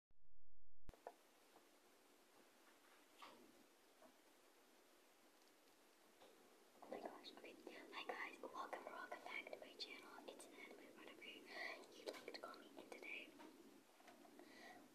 Oh my gosh, okay. Hi guys, welcome or welcome back to my channel. It's Ned, whatever you'd like to call me. And today,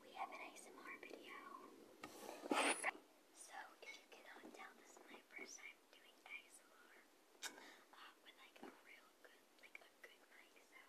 we have an ASMR video. So, if you cannot tell, this is my first time doing ASMR uh, with like a real good, like a good mic. So,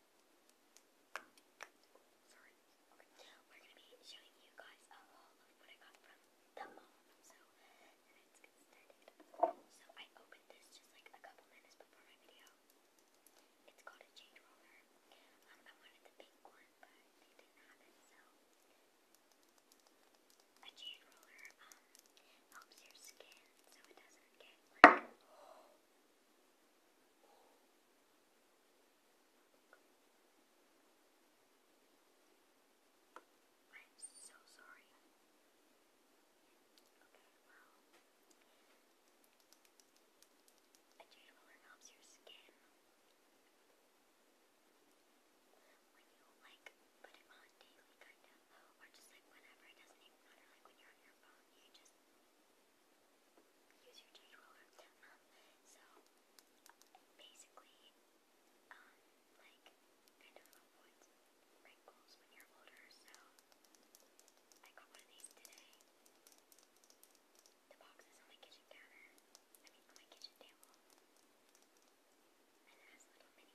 Sorry. Okay. We're gonna be showing you guys a haul of what I got from the mall. So So I opened this just like a couple minutes before my video. It's called a jade roller. I wanted the pink one, but they didn't have it, so a jade roller um helps your skin so it doesn't get like I'm so sorry. Okay, well, a gel helps your skin. When you like put on daily, kind of, or just like whenever it doesn't even matter, your you so basically, like wrinkles when you're older. So I got one of these today. The box is on my kitchen counter. I mean, my kitchen table, and it has little mini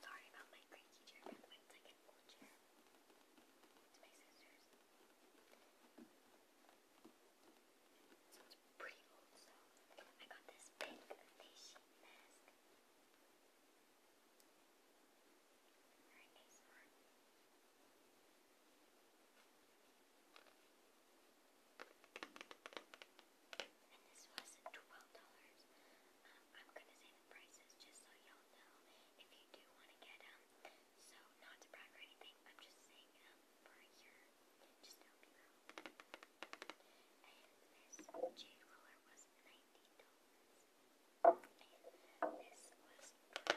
Sorry about my creaky chair, but it's like an old chair. It's my sister's. So it's pretty old, so I got this pink face sheet mask. Very nice one. I and this was twelve dollars. Um, I'm gonna say the prices just so y'all know if you do want to get them. Um, so not to brag or anything, I'm just saying um for your just to help you out. And this jade roller was nineteen dollars. And this was twelve dollars.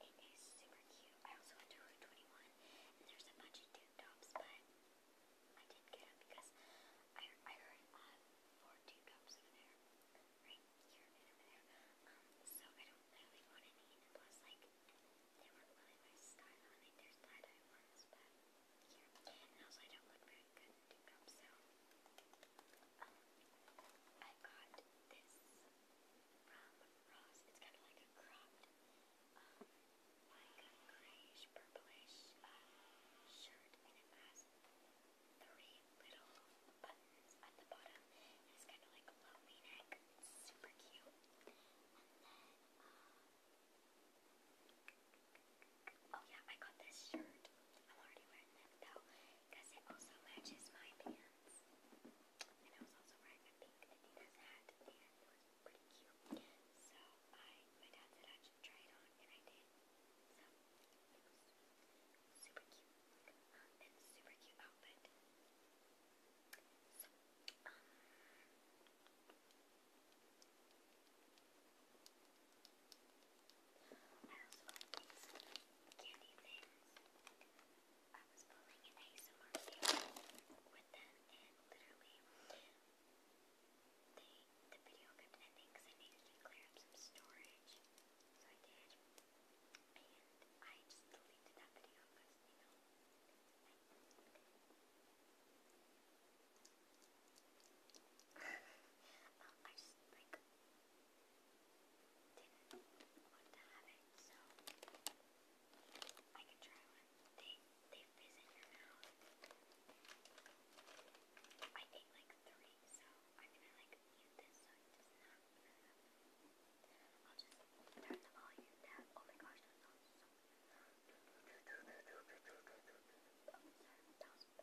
It is super cute. I also went to Route 21, and there's a bunch of tube tops, but I didn't get them because I, I heard um, four tube tops over there, right here and over there. Um, so I don't really want any, plus, like, they weren't really my style. I think there's tie ones, but here. And also, I don't look very good in tube tops, so I got this from rose. It's kind of like a cropped, um, like a grayish, purplish uh, shirt, and it has three little buttons at the bottom. it's kind of like a low neck Super cute. Um, oh yeah, I got this shirt. I'm already wearing that though, because it also matches my pants. And I was also wearing a pink Adidas hat, and it was pretty cute. So my dad said I should try it on, and I did. So super cute, super cute outfit. I also got candy things. I was pulling an ASMR video with them and literally they, the video kept ending because I needed to clear up some storage. So I did. And I just deleted that video because, you know, I, um, I just like didn't want to have it, so I can try one. They they fizz in your mouth. I ate like three, so I'm gonna like mute this so it does not I'll just turn the volume down. Oh my gosh, that sounds so. Oh, sorry, that was bad.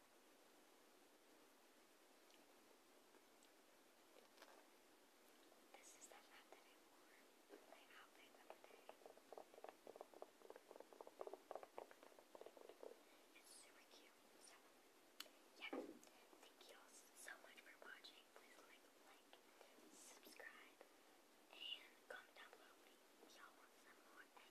This is that hat that I wore with my outfit the It's super cute. So, Thank you all so much for watching. Please like, like, subscribe, and comment down below y'all want some more